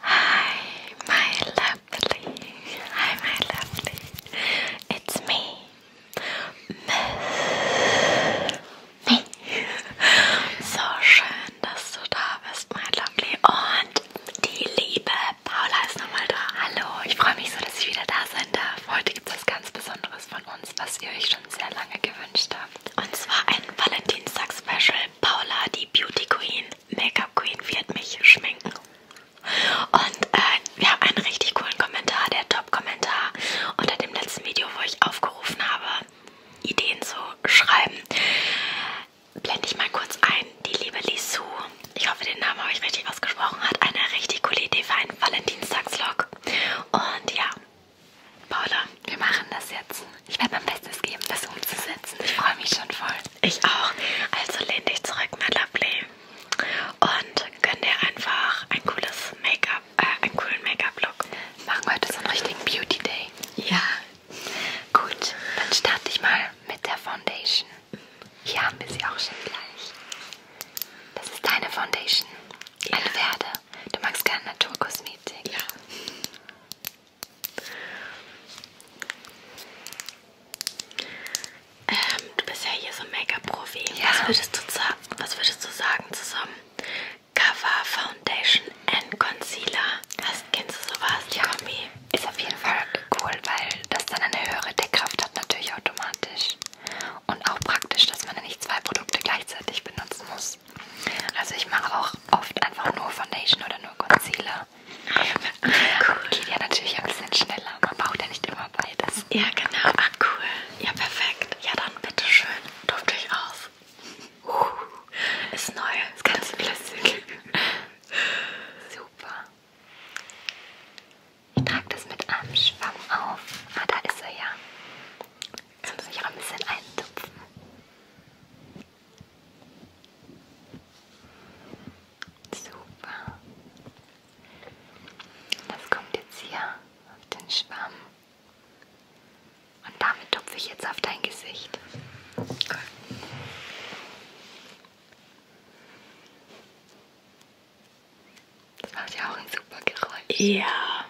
Hi, my lovely. Hi, my lovely. It's me. Miss me. So schön, dass du da bist, my lovely. Und die liebe Paula ist nochmal da. Hallo, ich freue mich so, dass ich wieder da sein darf. Heute gibt es was ganz Besonderes von uns, was ihr euch schon sehr lange gewünscht gewünscht habt. Und zwar ein Valentinstag-Special. Paula, die Beauty Queen, Make-up Queen, wird mich schminken. Und äh, wir haben einen richtig coolen Kommentar, der Top-Kommentar unter dem letzten Video, wo ich aufgerufen habe, Ideen zu schreiben. Blende ich mal kurz ein. Die liebe Lisu, ich hoffe, den Namen habe ich richtig ausgesprochen, hat eine richtig coole Idee für einen Valentinstags-Vlog. Und ja, Paula, wir machen das jetzt. Ich werde mein Bestes geben, das umzusetzen. Ich freue mich schon voll. Ich auch. Also lehn dich zurück, mein Lovely. Und gönn dir einfach ein cooles Make-up, äh, einen coolen Make-up-Look. Wir machen heute so einen richtigen Beauty-Day. Ja. Gut, dann starte ich mal mit der Foundation. Hier haben wir sie auch schon gleich. Das ist deine Foundation. Eine ja. Werde. Du magst gerne Naturkosmetik. Meeting. Ja. Ähm, du bist ja hier so ein Make-up-Profi. Ja. Was würdest, du, was würdest du sagen zu so einem Cover, Foundation and Concealer? Hast, kennst du sowas? Ja. Kombi? Ist auf jeden Fall cool, weil das dann eine höhere Deckkraft hat natürlich automatisch. Und auch praktisch, dass man dann nicht zwei Produkte gleichzeitig benutzen muss aus. Also ich mache auch oft einfach nur Foundation oder nur Concealer. Ah, cool. Geht ja natürlich ein bisschen schneller. Man braucht ja nicht immer beides. Ja, genau. Ah, cool. Ja, perfekt. Ja, dann bitteschön. Durft euch aus. Uh, ist neu. Ist ganz flüssig. Super. Ich trage das mit einem Schwamm auf. Ah, da ist er ja. Kannst du dich auch ein bisschen eintupfen? Super. Das kommt jetzt hier auf den Schwamm. Und damit tupfe ich jetzt auf dein Gesicht. Cool. Das macht ja auch ein super Geräusch. Ja.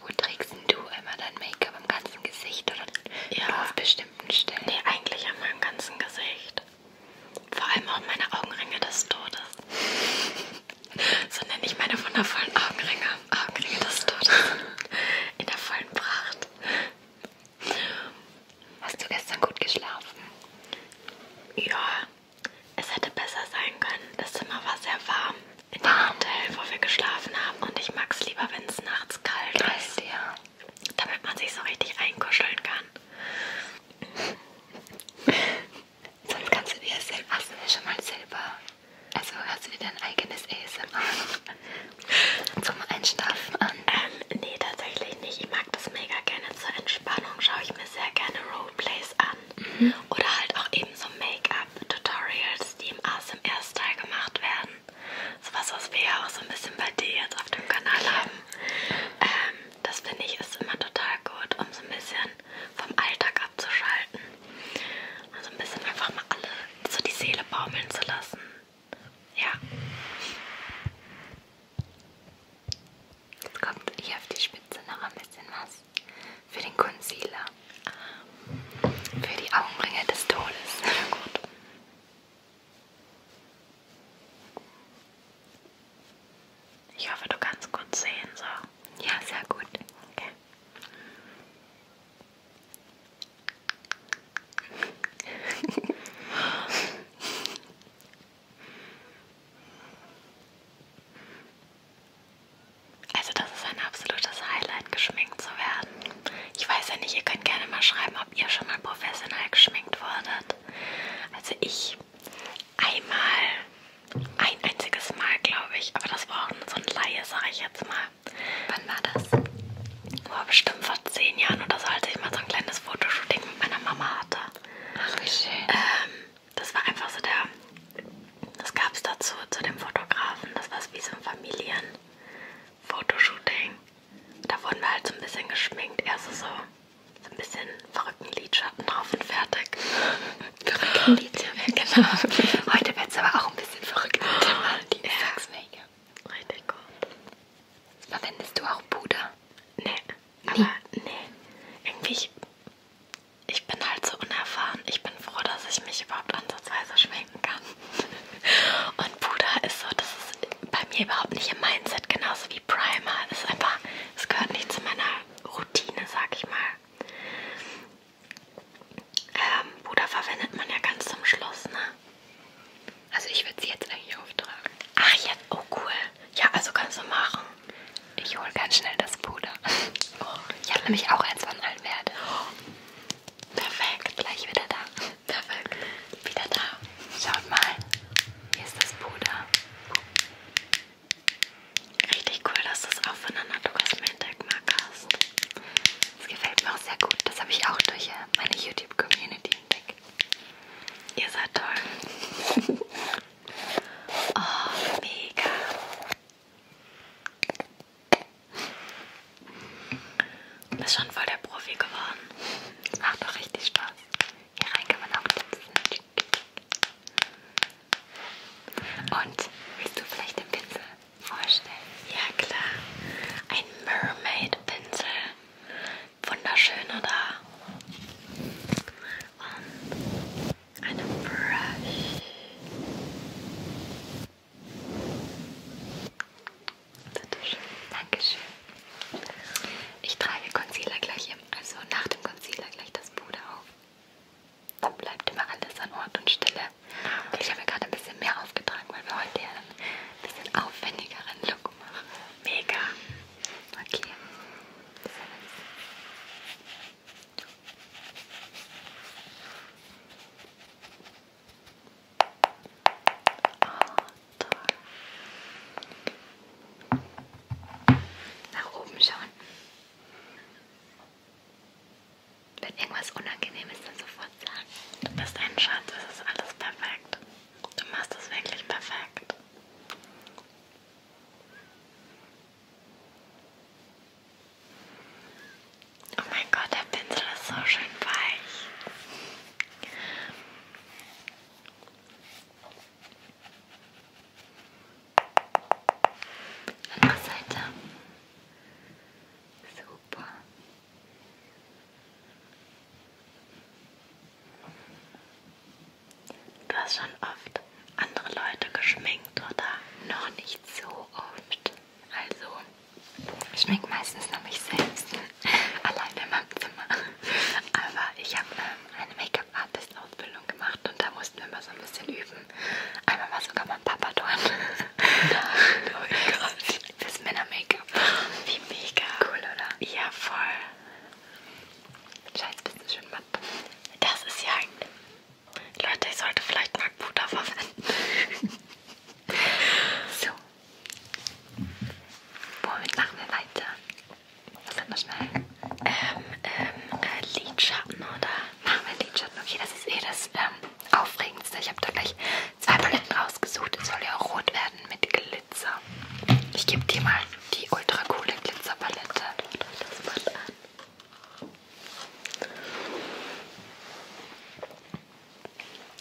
Wo trägst denn du immer dein Make-up? Am ganzen Gesicht oder ja. nur auf bestimmten Stellen? Nee, eigentlich an meinem ganzen Gesicht. Vor allem auch meine Augenringe des Todes. so nenne ich meine wundervollen Augenringe. Augenringe des Todes. In der vollen Pracht. Gott. Hast du gestern gut geschlafen? Ja. Es hätte besser sein können. Das Zimmer war sehr warm. In dem Hotel, wo wir geschlafen haben. Und ich mag es lieber, wenn es nachts kalt Geil, ist. Ja. Damit man sich so richtig einkuscheln kann. Sonst kannst du dir selber. Hast du dir schon mal selber also hörst du dir dein eigenes ASMR zum Einschlafen an? Ähm, nee, tatsächlich nicht. Ich mag das mega gerne zur Entspannung. Schaue ich mir sehr gerne Roleplays an. Mhm. Oder halt auch eben so Make-up-Tutorials, die im ASMR-Style gemacht werden. Sowas, was wir ja auch so ein bisschen bei dir jetzt auf dem Kanal haben. Ähm, das finde ich ist immer total gut, um so ein bisschen vom Alltag abzuschalten. Also ein bisschen einfach mal alle so die Seele baumeln zu lassen. Ja. Jetzt kommt hier auf die Spitze noch ein bisschen was für den Concealer. Für die Augenringe des Todes. Gut. Ich hoffe, du kannst gut sehen, so. Ja, sehr gut. Okay. Also das ist ein absolutes Highlight, geschminkt zu werden. Ich weiß ja nicht, ihr könnt gerne mal schreiben, ob ihr schon mal professionell geschminkt wurdet. Also ich einmal, ein einziges Mal glaube ich, aber das war auch so ein Laie, sage ich jetzt mal wann war das? War bestimmt vor zehn Jahren oder so, als ich mal so ein kleines Fotoshooting mit meiner Mama hatte. Ach, wie schön. Ähm, das war einfach so der. Das gab es dazu, zu dem Fotografen. Das war wie so ein Familien-Fotoshooting. Da wurden wir halt so ein bisschen geschminkt. Erst so, so ein bisschen verrückten Lidschatten drauf und fertig. Verrückten Lidschatten, genau. Heute wird es aber auch ein bisschen verrückt. Mal, die ja. sag's nicht. Ja, richtig gut. Verwendest du auch Puder? Nee, aber nee. nee. Irgendwie, ich, ich bin halt so unerfahren. Ich bin froh, dass ich mich überhaupt ansatzweise schminken kann. Und Puder ist so, das ist bei mir überhaupt nicht im Mindset, genauso wie Primer. Es ist einfach, es gehört nicht zu meiner Routine, sag ich mal. Ähm, Puder verwendet man ja ganz zum Schluss, ne? Also ich würde sie jetzt eigentlich auftragen. Ach ja, oh cool. Ja, also kannst du machen. Ich hole ganz schnell das Puder. Oh, ich habe nämlich auch eins von Almerde. Oh, perfekt. Gleich wieder da. Perfekt. Wieder da. Schaut mal. Hier ist das Puder. Richtig cool, dass du es auch von der Naturkosmetik mag hast. Das gefällt mir auch sehr gut. Das habe ich auch durch äh, meine YouTube-Community entdeckt. Ihr seid toll. oh, mega. Du bist schon voll der Profi geworden. Macht doch richtig Spaß. Hier rein kann man auch tanzen. Und willst du vielleicht den Pinsel? vorstellen? Ja klar. Ein Mermaid Pinsel. Wunderschön, oder? Und eine Brush. Bitteschön. Dankeschön. Ich trage Concealer gleich, im, also nach dem Concealer gleich das Puder auf. Dann bleibt immer alles an Ort und Stelle. Okay, ich habe mir gerade ein bisschen mehr aufgetragen, weil wir heute ja ein bisschen aufwendigeren Look machen. Mega! Okay. Oh, toll. Nach oben schauen. Wenn irgendwas unangenehm ist, dann sofort sagen. Du bist ein Schatz, es ist alles perfekt. Du machst es wirklich perfekt. Oh mein Gott, der Pinsel ist so schön weich. Andere Seite. So. Super. Du hast schon oft andere Leute geschminkt oder noch nicht so oft. Also, ich schminke meistens nur mich selbst, allein in meinem Zimmer. Aber ich habe ähm, eine Make-up-Artist-Ausbildung gemacht und da mussten wir immer so ein bisschen üben. Einmal war sogar mein Papa dort. Nein, oh mein Gott. Fürs Männer-Make-up. Wie mega. Cool, oder? Ja, voll. Scheiß, bist du schön matt. Das ist ja ein... Leute, ich sollte vielleicht mal Puder verwenden. so. Womit machen wir weiter? Was hat man schnell? Ähm, ähm, äh, Lidschatten, oder? Machen wir Lidschatten. Okay, das ist eh das, ähm, aufregendste. Ich habe da gleich zwei Paletten rausgesucht. Es soll ja auch rot werden mit Glitzer. Ich gebe dir mal die ultra coole Glitzerpalette. Das Band an.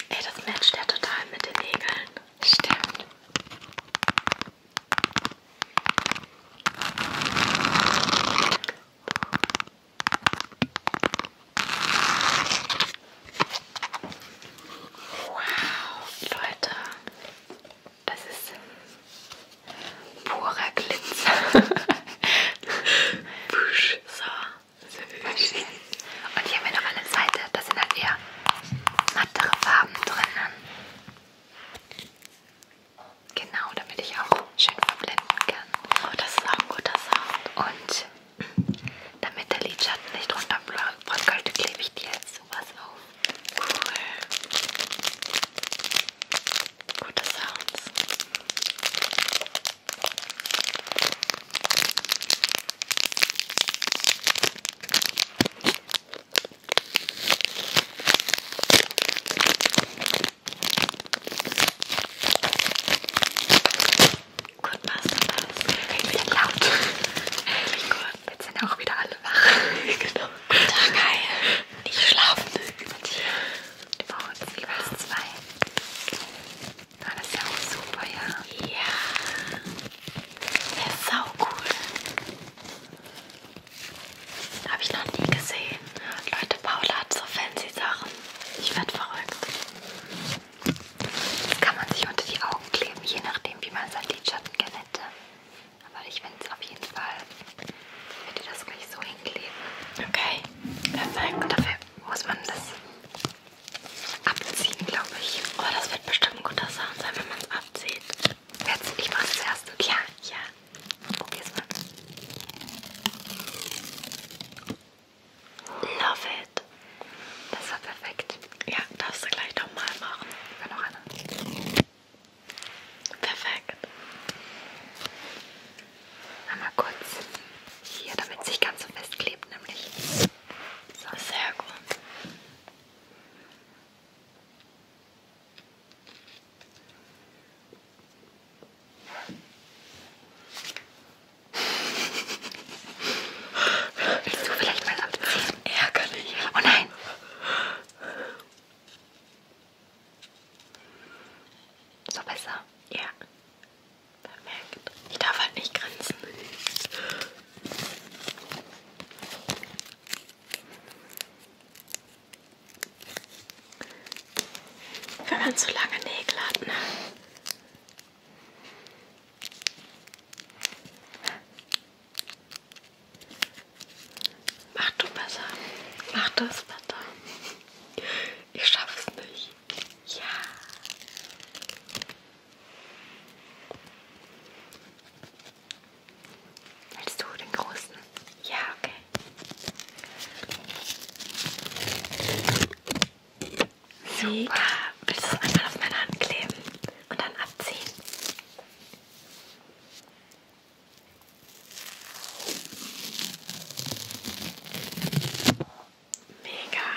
Ey, das matcht ja total mit den Nägeln. Stimmt. Wow, Leute, das ist purer Glitzer. so, super schön. Und hier haben wir noch eine Seite, da sind halt eher mattere Farben drinnen. Genau, damit ich auch schön verblenden kann. Oh, das ist auch ein guter Sound. Und damit der Lidschatten nicht runterbröckelt, klebe ich dir jetzt sowas auf. Cool. Gute Sounds. Gut, machst du das? Bisschen laut. Endlich gut. Jetzt sind auch wieder alle wach. genau. Guten Tag, hi. Nicht schlafen. Über dir. Über uns, über uns zwei. Ah, das ist ja auch super, ja. Ja. Das ist sau cool. Habe ich noch nie gesehen. Leute, Paula hat so fancy Sachen. Ich werde verrückt. Das kann man sich unter die Augen kleben, je nachdem, wie man seinen Lidschatten gerne hätte. Aber ich finde es auf jeden Fall, ich werde das gleich so hinkleben. Okay, perfekt. Dafür muss man das abziehen, glaube ich. Oh, das wird bestimmt ein guter Sound sein, wenn man es abzieht. Jetzt, ich mache es zuerst. Ja, ja. Probier's mal. Love it. Das war perfekt. Ja, darfst du gleich nochmal machen. Ich will noch eine. Perfekt. Einmal kurz hier, damit es nicht ganz so festklebt, nämlich. So, sehr gut. Willst du vielleicht mal abziehen? Ärgerlich. Oh nein. So besser? Ja. Perfekt. Ich darf halt nicht grinsen. Wenn man so lange Nägel hat, ne? Mach du besser. Mach du es besser. Ich schaff's nicht. Ja. Willst du den großen? Ja, okay. Super. Willst du es einmal auf meine Hand kleben und dann abziehen? Mega.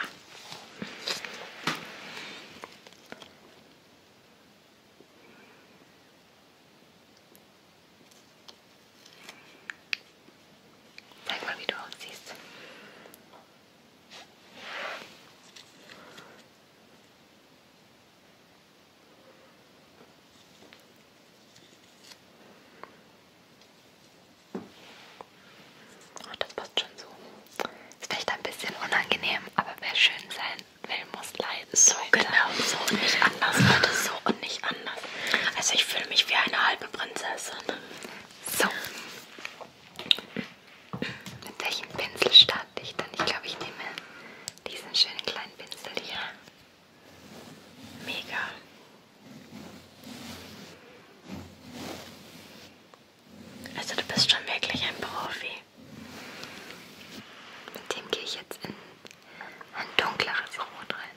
Zeig mal, wie du aussiehst. Oh, das passt schon so. Ist vielleicht ein bisschen unangenehm, aber wer schön sein will, muss leiden. So, genau, so und nicht anders. Leute, so und nicht anders. Also ich fühle mich wie eine halbe Prinzessin. So. Mit welchem Pinsel starte ich dann? Ich glaube, ich nehme diesen schönen kleinen Pinsel hier. Mega. Also du bist schon wirklich ein Profi. Mit dem gehe ich jetzt in ein dunkleres Rot rein.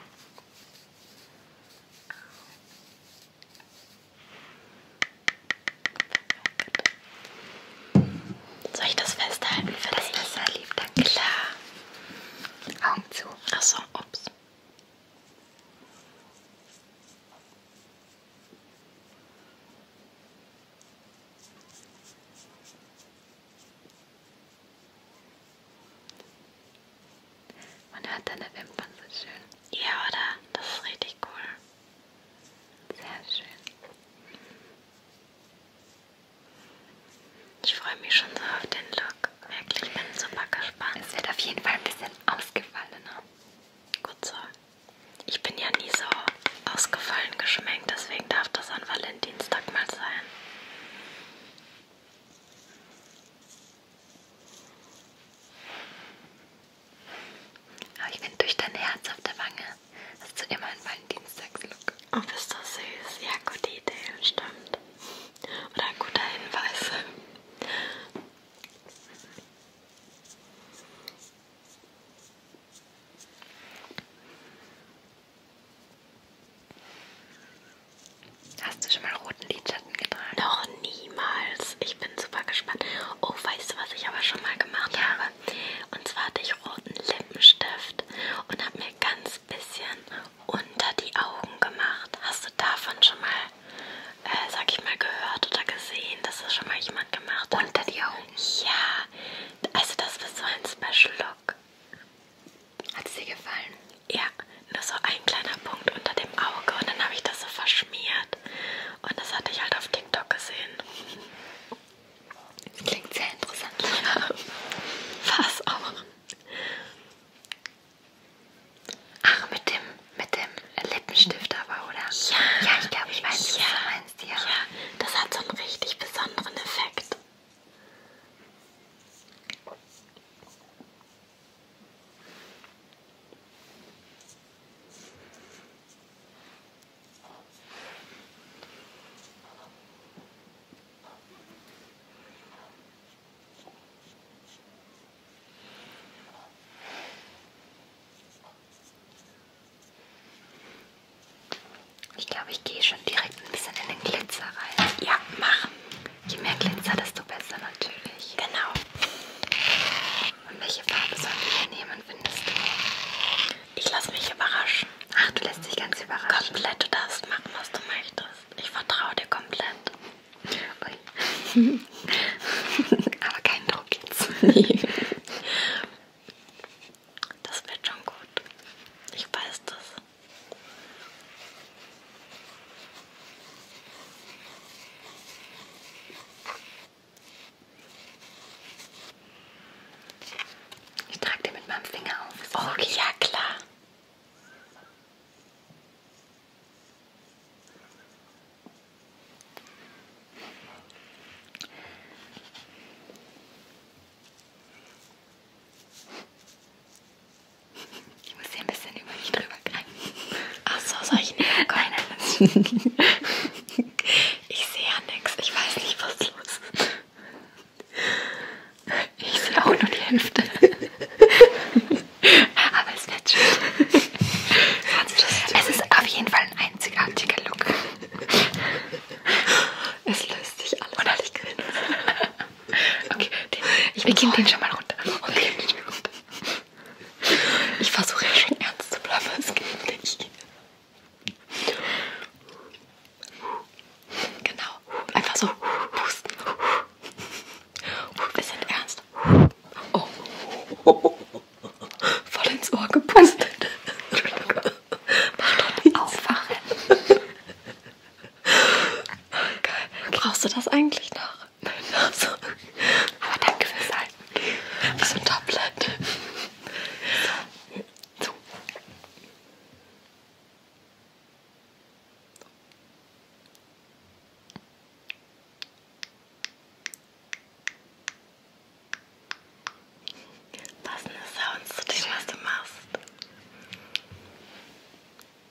Soll ich das festhalten für das Messer, lieb? Danke. Klar. Augen zu. Achso, ups. Man hört deine Wimpern so schön. Ja, oder? Das ist richtig cool. Sehr schön. Ich freue mich schon so auf den Look. Wirklich, bin super gespannt. Es wird auf jeden Fall ein bisschen ausgefallener. Gut so. Ich bin ja nie so ausgefallen geschminkt, deswegen darf das an Valentinstag mal sein. Aber ich finde durch dein Herz auf der Wange hast du immer einen Valentinstagslook. Oh, bist du süß. Ja, gute Idee, stimmt. Oder ein guter Hinweis. Hast du schon mal roten Lidschatten getragen? Noch niemals. Ich bin super gespannt. Oh, weißt du, was ich aber schon mal gemacht ja. habe? Und zwar hatte ich roten Lippenstift und habe mir ganz bisschen unter die Augen gemacht. Hast du davon schon mal, äh, sag ich mal, gehört oder gesehen, dass das schon mal jemand gemacht hat? Unter die Augen? Ja. Also das war so ein Special Look. Hat es dir gefallen? Ja, nur so ein kleiner Punkt unter dem Auge und dann habe ich das so verschmiert. Und das hatte ich halt auf TikTok gesehen. Das klingt sehr interessant. Ja, was auch. Ach, mit dem, mit dem Lippenstift aber, oder? Ja. Ja, ich glaube, ich weiß, ja. was du meinst, ja. Ja, das hat so einen richtig besonderen Effekt. Ich glaube, ich gehe schon direkt ein bisschen in den Glitzer rein. Ja, mach. Je mehr Glitzer, desto besser natürlich. Genau. Und welche Farbe sollen wir nehmen, findest du? Ich lasse mich überraschen. Ach, du lässt dich ganz überraschen. Komplett, du darfst machen, was du möchtest. Ich vertraue dir komplett. Ui. Aber kein Druck jetzt. Nee. Das wird schon gut. Ich weiß das. Ich trage den mit meinem Finger auf. Oh, okay, ja klar. Ich muss hier ein bisschen über mich drüber greifen. Ach so, soll ich nicht? Nein, nein. Ich sehe ja nichts. Ich weiß nicht, was los ist. Ich sehe auch nur die Hälfte. Aber es wird schön. Es ist auf jeden Fall ein einzigartiger Look. Es löst sich alles. Und ich grinse. Okay, den, ich wir gehen den schon mal runter. Okay. Ich versuche ja schon ernst zu bleiben, es geht nicht. Genau, einfach so pusten. Wir sind ernst. Oh. Voll ins Ohr gepustet. Mach doch nicht. Aufwachen. Geil. Brauchst du das eigentlich noch? Nein, also. Aber danke fürs Halten. Wie so ein Tablet. So. so. Passende Sounds zu dem, was du machst.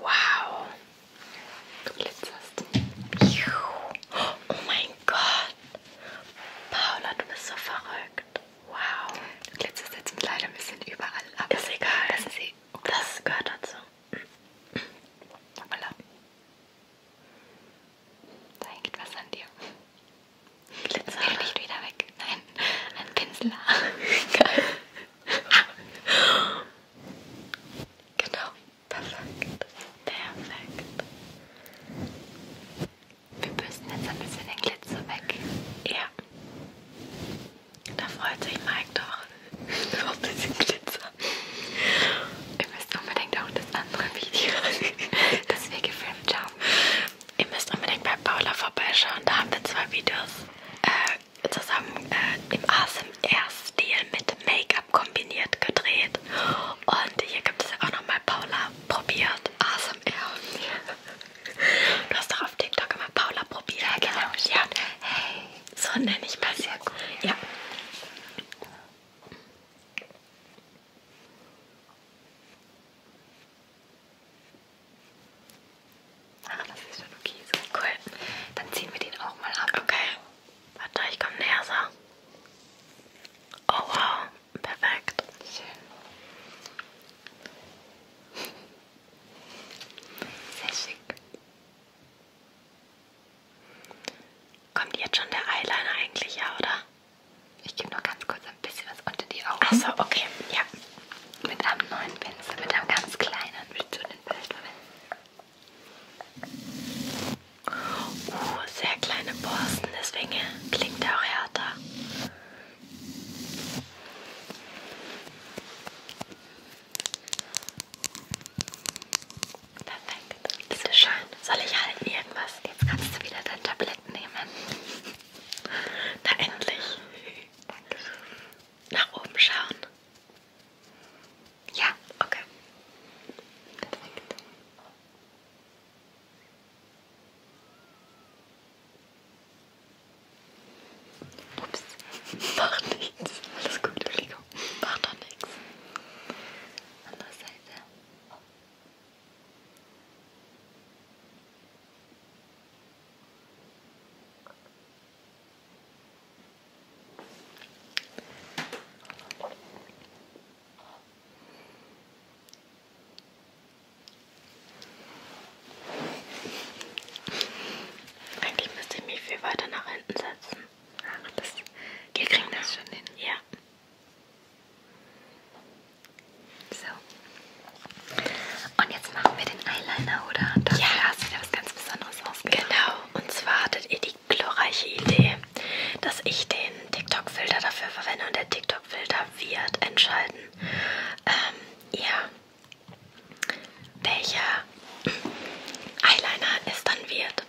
Wow. Du glitzerst. Oh mein Gott. Paula, du bist so verrückt. Wow. Du glitzerst jetzt leider ein bisschen überall ab. Ist egal. Das, ist eh okay. das gehört dazu. Voilà. Da hängt was an dir. Glitzer. Stell dich wieder weg. Nein, ein Pinsel. Geil. Genau, perfekt. Perfekt. Wir bürsten jetzt ein bisschen den Glitzer weg. Ja. Da freut sich Mike doch. So ein bisschen Glitzer. Ihr müsst unbedingt auch das andere Video, das wir gefilmt haben. Ihr müsst unbedingt bei Paula vorbeischauen. Da haben wir zwei Videos. Äh, zusammen äh, im ASMR-Stil mit Make-up kombiniert gedreht. Und hier gibt es ja auch nochmal Paula probiert ASMR. du hast doch auf TikTok immer Paula probiert. Ja, genau. Ne? Ja. Hey, so nenne ich mal sehr gut. Ja. Ah, das ist schon okay so. Cool. Dann ziehen wir den auch mal ab. Okay. Warte, ich komme näher so. Oh wow. Perfekt. Schön. Sehr schick. Kommt jetzt schon der Eyeliner eigentlich, ja, oder? Ich gebe noch ganz kurz ein bisschen was unter die Augen. Achso, okay. Ja mit einem neuen Pinsel, mit einem ganz kleinen, willst du den vielleicht verwenden? Uh, sehr kleine Borsten, deswegen klingt er auch härter. Perfekt, das ist schön. Soll ich halten irgendwas? Jetzt kannst du wieder dein Tablett nehmen. Na endlich. Dankeschön nach oben schauen? Ja, okay. Perfekt. Ups, macht nichts. Alles gut, Entschuldigung. Macht doch nichts. Andere Seite. Eigentlich müsste ich mich viel weiter nach hinten setzen. Ach, das, wir kriegen das schon hin. Ja. So. Und jetzt machen wir den Eyeliner, oder? Und dafür ja. hast du dir was ganz Besonderes ausgedacht. Genau, und zwar hattet ihr die glorreiche Idee, dass ich den TikTok-Filter dafür verwende und der TikTok-Filter wird entscheiden, ähm, ja, welcher Eyeliner es dann wird.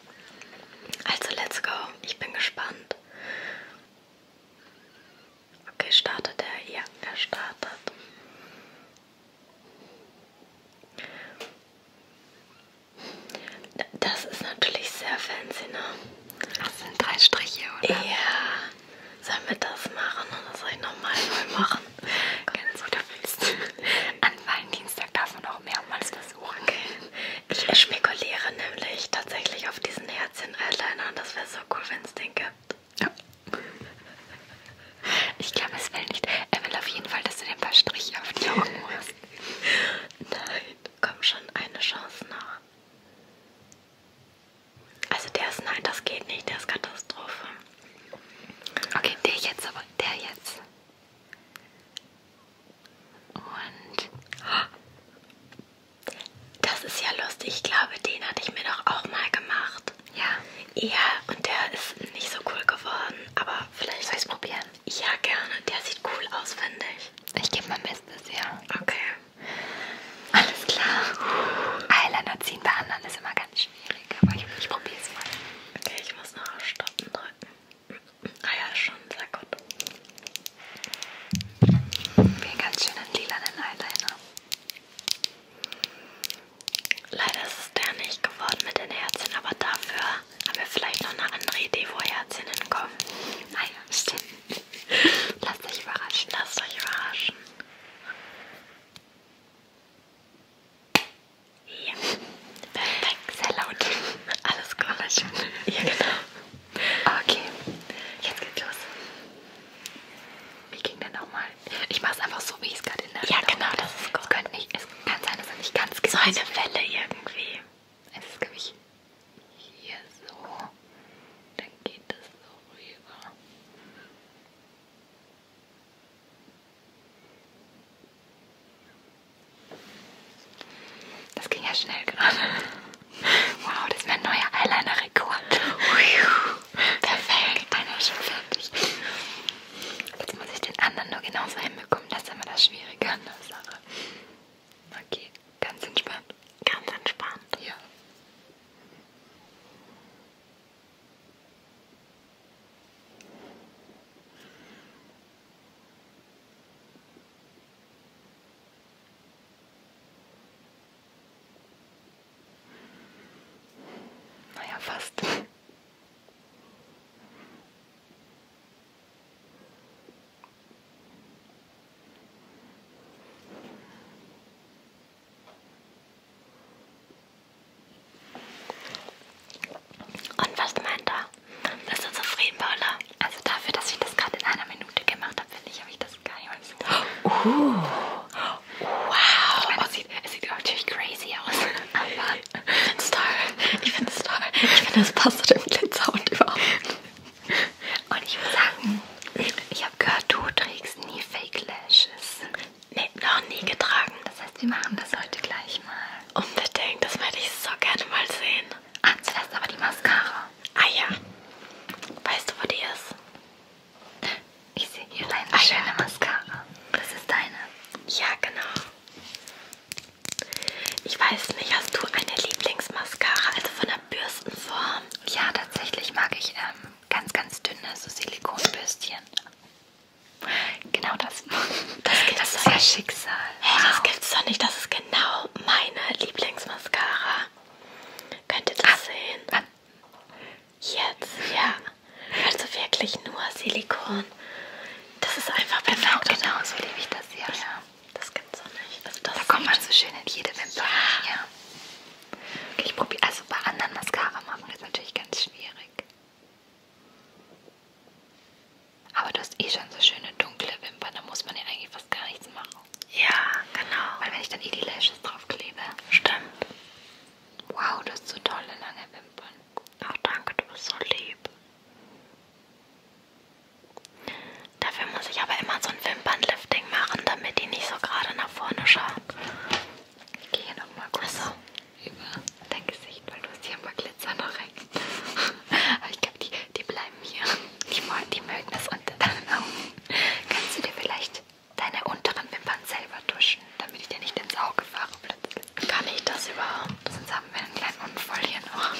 Also, let's go. Ich bin gespannt. Okay, startet er? Ja, er startet. Das ist natürlich sehr fancy, ne? Das sind drei Striche, oder? Ja. Sollen wir das machen oder soll ich nochmal neu machen? Ganz guter Mist. An Valentinstag darf man auch mehrmals versuchen. Okay. Ich spekuliere nämlich tatsächlich auf diesen Herzchen-Eyeliner und das wäre so cool, wenn es den gibt. Ja. Ich glaube, es will nicht. Er will auf jeden Fall, dass du den paar Striche auf die Augen machst. Nein, komm schon, eine Chance noch. Also der ist nein, das geht nicht, der ist Katastrophe. Okay, der jetzt aber, der jetzt. Und das ist ja lustig, ich glaube, den hatte ich mir doch auch mal gemacht. Ja. Ja, und der ist nicht so cool geworden, aber vielleicht soll ich es probieren. Ja, gerne. Der sieht cool aus, finde ich. Ich gebe mein Bestes, ja. Okay. Alles klar. Eyeliner ziehen bei anderen ist immer ganz schwierig, aber ich, ich probiere es mal. Okay, ich muss noch auf Stoppen drücken. Ah ja, schon sehr gut. Mir ganz schön einen lilanen Eyeliner. Leider ist es der nicht geworden mit den Herzchen, aber dafür haben wir vielleicht noch eine andere Idee, wo Herzchen hinkommen. Naja, stimmt. Lasst euch überraschen, lasst euch überraschen. Ja, perfekt, sehr laut. Alles gut. Ja, genau. Okay, jetzt geht's los. Wie ging der nochmal? Ich mach's einfach so, wie ich es gerade in der Ja, Richtung genau, das ist gut. Es, könnte nicht, es kann sein, dass er nicht ganz So genau eine Welle irgendwie. Es ist, glaube ich, hier so. Dann geht das so rüber. Das ging ja schnell gerade. Wow, das ist mein neuer Eyeliner-Rekord. Perfekt, einer ist schon fertig. Jetzt muss ich den anderen nur genauso hinbekommen. Das ist immer das Schwierige an der Sache. Okay, ganz entspannt. Ganz entspannt? Ja. Naja, fast. Und was meint er? Bist du zufrieden, Paula? Also dafür, dass ich das gerade in einer Minute gemacht habe, finde ich, habe ich das gar nicht mal so. Uh. Wow. Ich meine, es sieht, es sieht natürlich crazy aus. Aber ich finde es toll. Ich finde es toll. Ich finde, es passt zu dem Glitzerhund überhaupt. Und ich muss sagen, ich habe gehört, du trägst nie Fake Lashes. Nee, noch nie getragen. Das heißt, wir machen das heute gleich mal. Unbedingt, das werde ich so gerne mal sehen. Ah, zuerst aber die Mascara. Ah ja. Weißt du, wo die ist? Ich sehe hier deine Ach, schöne ja. Mascara. Das ist deine. Ja, genau. Ich weiß nicht, hast du eine Lieblingsmascara, also von der Bürstenform? Ja, tatsächlich mag ich ähm, ganz, ganz dünne, so Silikonbürstchen. Genau das. Das, das ist ja Schicksal. Hey, wow. das gibt's doch nicht. Das ist genau meine Lieblingsmascara. Könnt ihr das ah, sehen? Ah, Jetzt, ja. Also wirklich nur Silikon. Das ist einfach genau, perfekt. Genau, genau so liebe ich das hier. Ja. ja, das gibt's auch nicht. Also das da kommt man so schön in jede Wimper. Ja. ja. Okay, ich probiere. Also bei anderen Mascara machen ist natürlich ganz schwierig. Aber du hast eh schon so schöne dunkle Wimpern. Da muss man ja eigentlich fast gar nichts machen. Ja, genau. Weil wenn ich dann eh die Lashes drauf klebe. Stimmt. Wow, das hast so tolle lange Wimpern. Ach danke, du bist so lieb. Dafür muss ich aber immer so ein Wimpernlifting machen, damit die nicht so gerade nach vorne schauen. Ich gehe hier nochmal kurz so. über dein Gesicht, weil du hast hier mal Glitzer noch rein. aber ich glaube, die, die bleiben hier. Die, die mögen das unter deinen Augen. Kannst du dir vielleicht deine unteren Wimpern selber tuschen, damit ich dir nicht ins Auge fahre plötzlich. Kann ich das überhaupt? Sonst haben wir einen kleinen Unfall hier noch.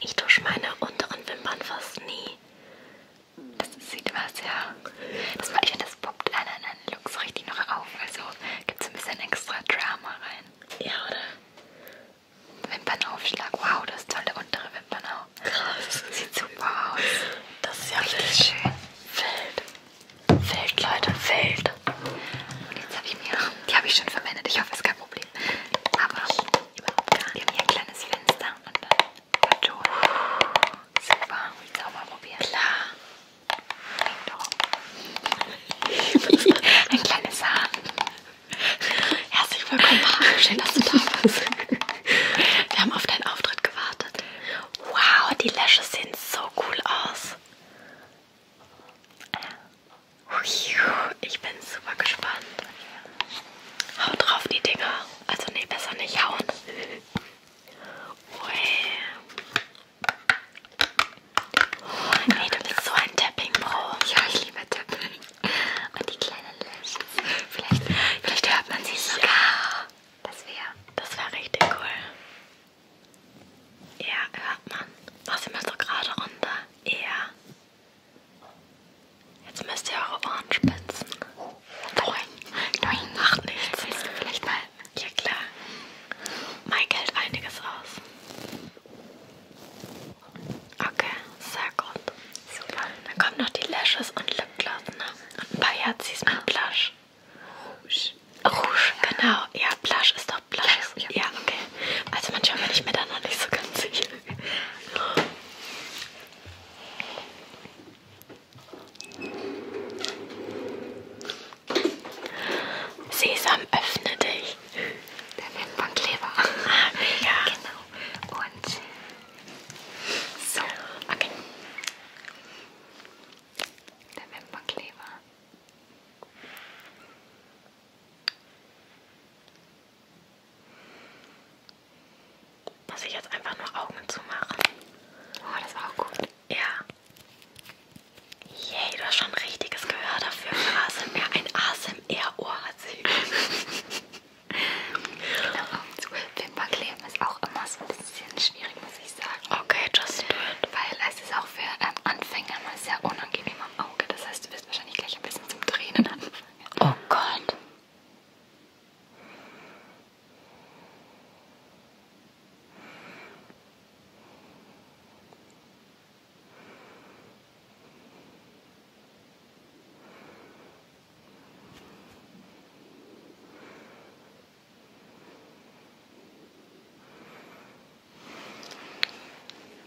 Ich tusche meine unteren Wimpern fast nie. Das sieht was, ja. Das war ich finde, das poppt einen, einen Looks richtig noch auf. Also gibt es ein bisschen extra Drama rein. Ja, oder? Wimpernaufschlag. Wow, das ist toll, der untere Wimpernau. Krass. Sieht super aus. Das ist ja richtig schön. Feld. Feld, Leute, Feld. Und jetzt habe ich mir, die habe ich schon verwendet, ich hoffe, es ist kein Problem. Aber überhaupt gar nicht. Wir haben hier ein kleines Fenster und dann Karton. Super, willst du auch mal probieren? Klar. Ein kleines Haar. Herzlich willkommen, Marc. Schön, dass du da bist. Wir haben auf deinen Auftritt gewartet. Wow, die Lashes sehen so cool aus. Ich bin super gespannt. Haut drauf die Dinger. Also nee, besser nicht hauen. Ui. Oh, nee, du bist so ein Tapping-Pro. Ja, ich liebe Tapping. Und die kleinen Lashes. Vielleicht, vielleicht hört man sie sogar. Ja. Das wäre. Das wäre richtig cool. Ja, hört man. Was immer so gerade runter. Ja. Jetzt müsst ihr eure Ohren spitzen. Nein, nein, macht nichts. Willst du vielleicht mal? Ja klar. Mike hält einiges aus. Okay, sehr gut. Super. Dann kommen noch die Lashes und Lipgloss, ne? Und ein paar Herzis mit ah. Blush. Rouge. Rouge, ja. genau. Ja, Blush ist doch Blush. Ja, ja. ja okay. Also manchmal bin ich mir da noch nicht so ganz sicher. Sesam, öffne dich. Der Wimpernnkleber. Ah, ja. Genau. Oh, und so, okay. Der Wimperkleber. Muss ich jetzt einfach nur Augen zumachen? Oh, das war auch gut. Ja. Yay, du hast schon ein richtiges Gehör dafür. Ein ASMR, ein ASMR-Ohr hat sie. Genau. Wimperkleben ist auch immer so ein bisschen schwierig, muss ich sagen. Okay, just do it. Weil es ist auch für ähm, Anfänger mal sehr unangenehm am Auge. Das heißt, du wirst wahrscheinlich gleich ein bisschen zum Tränen anfangen. Oh Gott.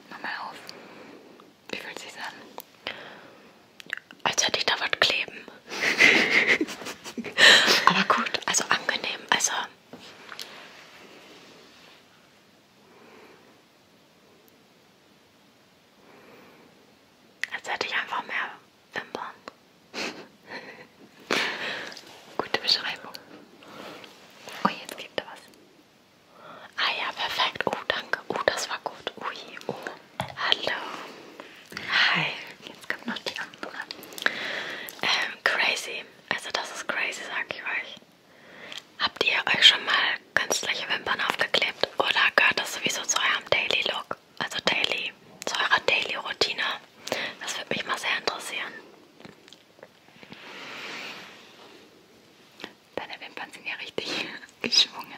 Mach mal auf. Wie fühlt sich an? Als hätte ich da was kleben. Aber gut, also angenehm. Also als hätte ich einfach mehr Wimpern. Gute Beschreibung. Oh, jetzt gibt da was. Ah ja, perfekt. Oh, danke. Oh, das war gut. Ui, oh. Hallo. Hi. Jetzt kommt noch die andere. Ähm, crazy. Also das ist crazy, sag ich euch. Habt ihr euch schon mal künstliche Wimpern aufgeklebt oder gehört das sowieso zu eurem Daily Look? Also Daily, zu eurer Daily Routine? Das würde mich mal sehr interessieren. Deine Wimpern sind ja richtig geschwungen.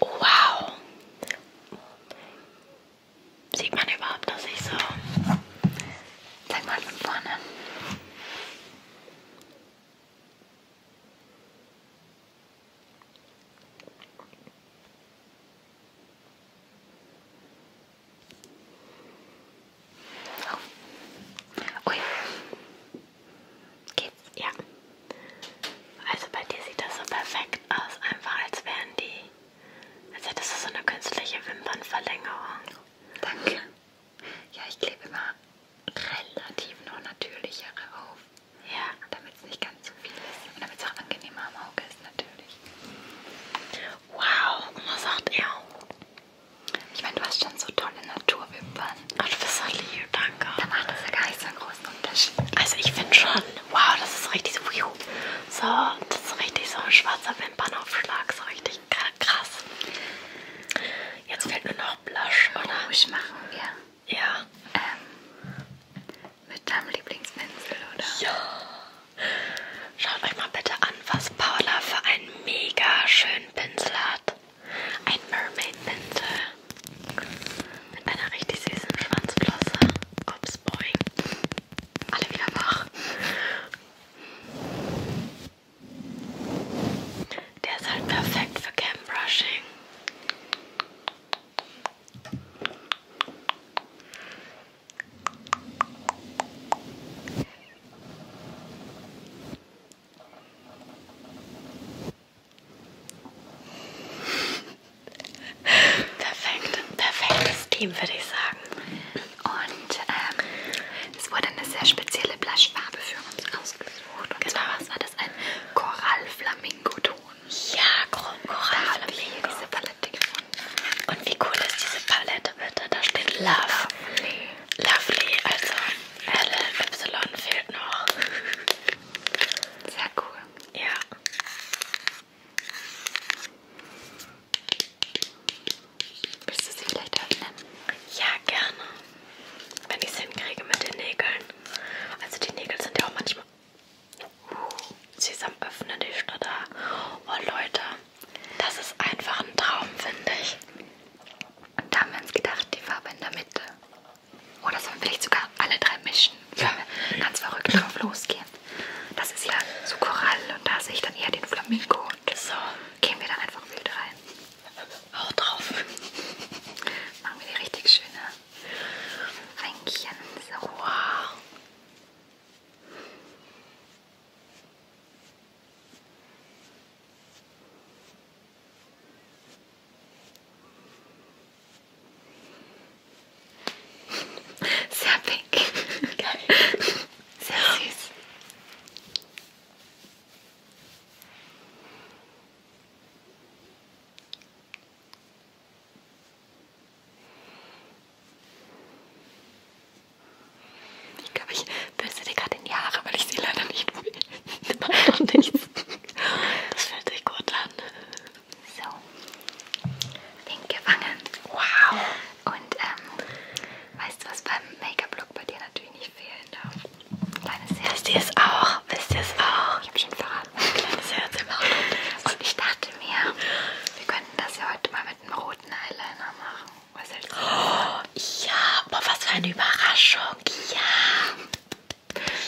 Oh, wow. Sieht man überhaupt, dass ich so... Zeig mal von vorne. Oh. Ui. Geht's? Ja. Also bei dir sieht das so perfekt aus, einfach als wären die, als hättest du so eine künstliche Wimpernverlängerung. Danke. Ja, ich klebe immer relativ noch natürlichere auf. Ja. Damit es nicht ganz zu viel ist und damit es auch angenehmer am Auge ist natürlich. Wow, was sagt er? Ich meine, du hast schon so tolle Naturwimpern. Ach, du bist so lieb, danke. Da macht das ja gar nicht so groß ist der Unterschied? Also ich finde schon, wow, das ist richtig so, so, das ist richtig so ein schwarzer Wimpernaufschlag, so richtig krass. Jetzt fehlt nur noch Blush, oh, oder? Ruhig machen, ja. Ja. Ähm, mit deinem Lieblingspinsel, oder? Ja. Schaut euch mal bitte an, was Paula für einen mega schönen Pinsel hat. Ein Mermaid-Pinsel. Mit einer richtig süßen Schwanzflosse. Ups, boing. Alle wieder wach. Der ist halt perfekt für Cam Brushing. Perfekt, perfektes Team, würde ich sagen. Und ähm, es wurde eine sehr spezielle Blushfarbe für uns ausgesucht. Und genau. zwar war das ein Korall-Flamingo-Ton. Ja, Korall-Flamingo. Da diese Palette gefunden. Und wie cool ist diese Palette, bitte? Da steht Love. Lovely. Lovely, also LY fehlt noch. Sehr cool. Ja. Willst du sie vielleicht öffnen? Ja, gerne. Wenn ich es hinkriege mit den Nägeln. Also die Nägel sind ja auch manchmal... Uh, sie ist am Öffnen, die Stadt da. Oh Leute, das ist einfach ein Traum, finde ich. Und da haben wir uns gedacht, die Farbe in der Mitte. Oder oh, sollen wir vielleicht sogar alle drei mischen? Ja. Ganz verrückt drauf losgehen. Das ist ja so Korall und da sehe ich dann eher den Flamingo. Und so. Gehen wir da einfach wild rein. Hau drauf. Machen wir die richtig schöne Ränkchen. So. Wow. Sehr pink. Geil. Sehr süß. Ich glaube, ich bürste dir gerade in die Haare, weil ich sie leider nicht will. Das macht doch nichts. Das fühlt sich gut an. So, pink gefangen. Wow. Und ähm, weißt du, was beim Make-up-Look bei dir natürlich nicht fehlen darf? Kleines Herz. Wisst ihr es auch? Wisst ihr es auch? Ich habe schon verraten. Kleines Herz im Auto. Und ich dachte mir, wir könnten das ja heute mal mit einem roten Eyeliner machen. Was hältst du? Oh, ja, aber was für eine Überraschung. Ja.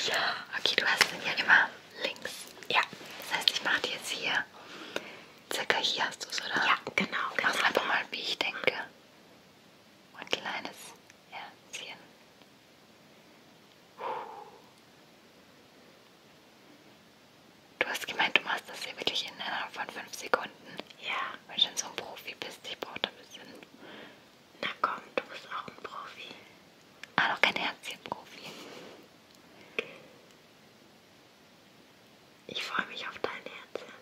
Ja, okay, du hast den ja immer links. Ja. Das heißt, ich mache dir jetzt hier, circa hier hast du es, oder? Ja, genau. Mach genau. einfach mal, wie ich denke. Und ein kleines Herzchen. Du hast gemeint, du machst das hier wirklich innerhalb von 5 Sekunden. Ja. Weil du schon so ein Profi bist, ich brauche da ein bisschen na komm, du bist auch ein Profi. Ah, doch kein Herzchen-Profi. Ich freue mich auf dein Herzchen.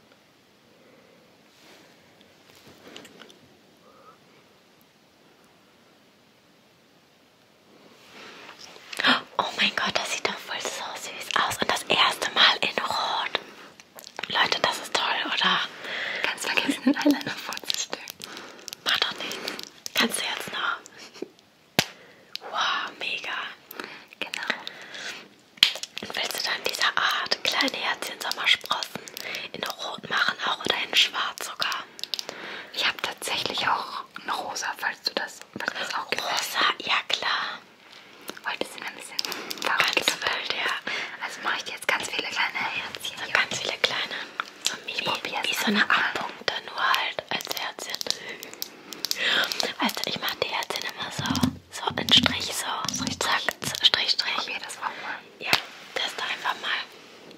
Oh mein Gott, das sieht doch voll so süß aus. Und das erste Mal in Rot. Leute, das ist toll, oder? Ganz vergessen, den Eyeliner vorzustellen. Macht doch nichts. Kannst du jetzt noch? Wow, mega. Genau. Und willst du dann dieser Art kleine Herzchen Sommersprossen in Rot machen auch oder in Schwarz sogar? Ich habe tatsächlich auch ein Rosa, falls du das, falls du das auch gefällt. Rosa, ja klar. Heute sind ein bisschen verrückt. Ganz wild, ja. Also mache ich jetzt ganz viele kleine Herzchen. So ganz viele kleine. Ich probiere es. Wie so eine Abpunkte, nur halt als Herzchen. Weißt du, ich mache die Herzchen immer so. So in Strich, so. Strich, Zack, Strich, Strich. Probier das auch mal. Ja, teste einfach mal.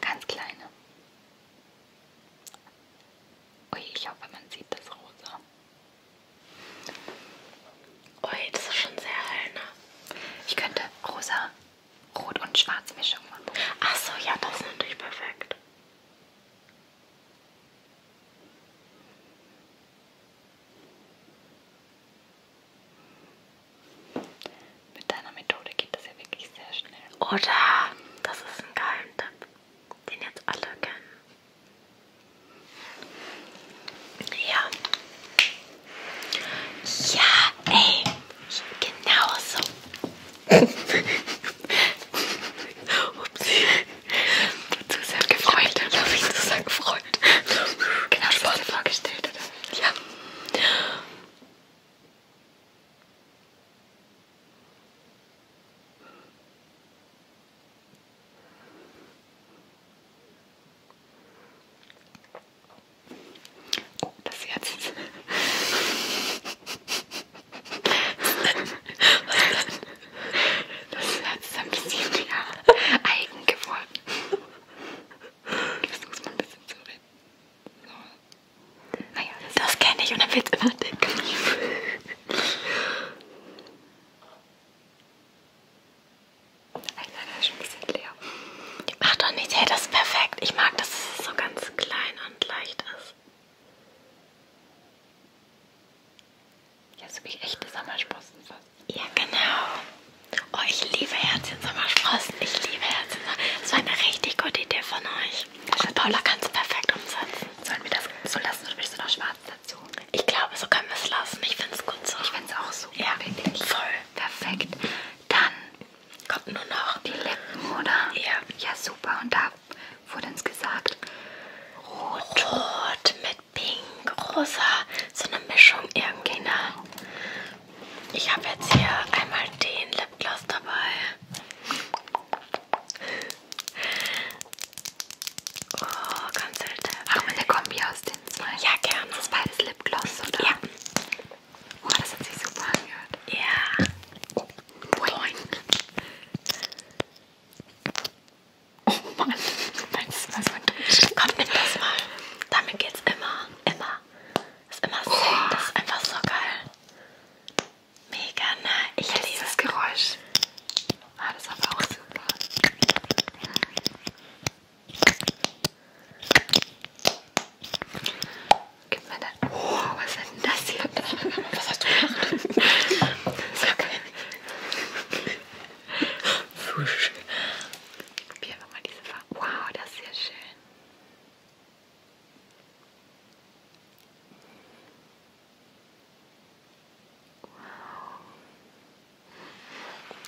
Ganz kleine. Ui, ich hoffe, man sieht das rosa. Ui, das ist schon sehr hell, ne? Ich könnte rosa Rot- und Schwarzmischung machen. Achso, ja, das ist natürlich perfekt. Mit deiner Methode geht das ja wirklich sehr schnell. Oder? Das ist ein Geheimtipp, den jetzt alle kennen. Ja. Ja, ey. Genau so. Upsi. Zu sehr gefreut. Ich habe mich zu sehr gefreut. Genau, das wurde vorgestellt, oder? Ja. Oh, das Herz. Das Herz ist ein bisschen ja, eigen geworden. Ich versuch's mal ein bisschen zu reden. So. Naja, das, das kenne ich und dann wird's immer dick. Nein, leider ist schon ein bisschen leer. Macht doch nichts. Hey, das ist perfekt. Ich mag, dass es so ganz klein und leicht ist. Ja, so wie echte Sommersprossen fast. Ja, genau. Oh, ich liebe Herzchen-Sommersprossen. Ich liebe herzchen -Sommersprossen. Das war eine richtig gute Idee von euch. Und Paula kann es perfekt umsetzen. Sollen wir das so lassen oder willst du noch schwarz dazu? Ich glaube, so können wir es lassen. Ich finde es gut so. Ich finde es auch so. Ja, wirklich. Voll. Perfekt. Dann Kommt nur noch die Lippen, oder? Ja. Ja, super. Und da wurde uns gesagt, rot. Rot mit pink, rosa. So eine Mischung irgendwie, ne? Ich habe jetzt hier einmal den Lipgloss dabei. Oh, ganz selten. Machen wir eine Kombi aus den zwei? Ja, gerne. Das ist beides Lipgloss, oder? Ja. Oh, das hat sich super angehört. Ja. Oh, boing. Oh Mann, das war so ein Dusch. Komm, nimm das mal. Damit geht's immer, immer. Das ist immer so. Oh. Das ist einfach so geil. Mega, ne? Ich das liebe das Geräusch. Ah, das war auch super. Gib mir dann. Oh, was ist denn das hier? Was hast du gemacht? Sag mir nicht. Probieren wir mal diese Farbe. Wow, das ist ja schön. Wow.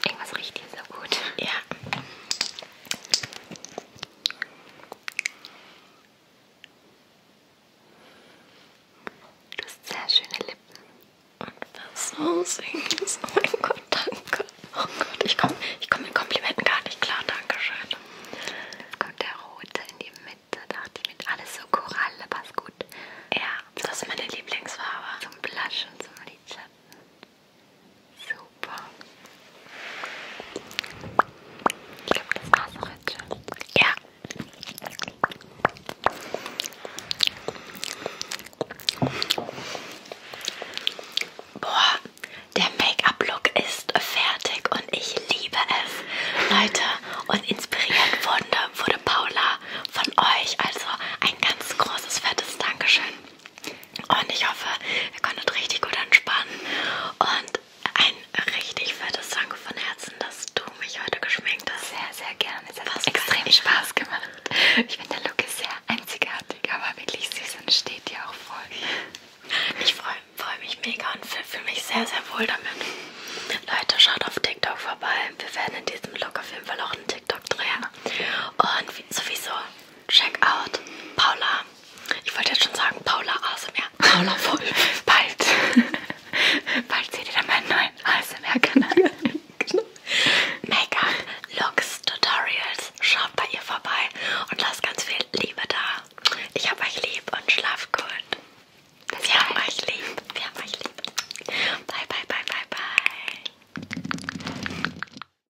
Irgendwas riecht hier so gut. Ja. Du hast sehr schöne Lippen. Und was so süß. Oh mein Gott, danke. Oh Gott, ich komme ich komm mit Komplimenten gar nicht klar. Dankeschön. Jetzt kommt der rote in die Mitte. Dachte ich mit alles so Koralle, passt gut. Ja, das ist meine Lieblingsfarbe. Zum Blush und zum Lidschatten. Super. Ich glaube, das war's auch jetzt schon. Ja. Boah, der Make-up-Look ist fertig und ich liebe es. Leute, und inspiriert wurde, wurde Paula von euch. Also ein ganz großes, fettes Dankeschön. Und ich hoffe, ihr konntet richtig gut entspannen. Und ein richtig fettes Danke von Herzen, dass du mich heute geschminkt hast. Sehr, sehr gerne. Es hat Was extrem Spaß gemacht. Ich finde, der Look ist sehr einzigartig, aber wirklich süß und steht dir auch voll. Ich freue freu mich mega und fühle fühl mich sehr, sehr wohl damit. Leute, schaut auf TikTok vorbei. Wir werden in diesem Look auf jeden Fall auch einen TikTok drehen. Und sowieso check out Paula. Ich wollte jetzt schon sagen Paula ASMR. Paula Wolf. Bald. Bald seht ihr dann meinen neuen ASMR-Kanal. genau. Make-up, Looks, Tutorials. Schaut bei ihr vorbei und lasst ganz viel Liebe da. Ich hab euch lieb und schlaf gut. Bis Wir bald. haben euch lieb. Wir haben euch lieb. Bye, bye, bye, bye, bye.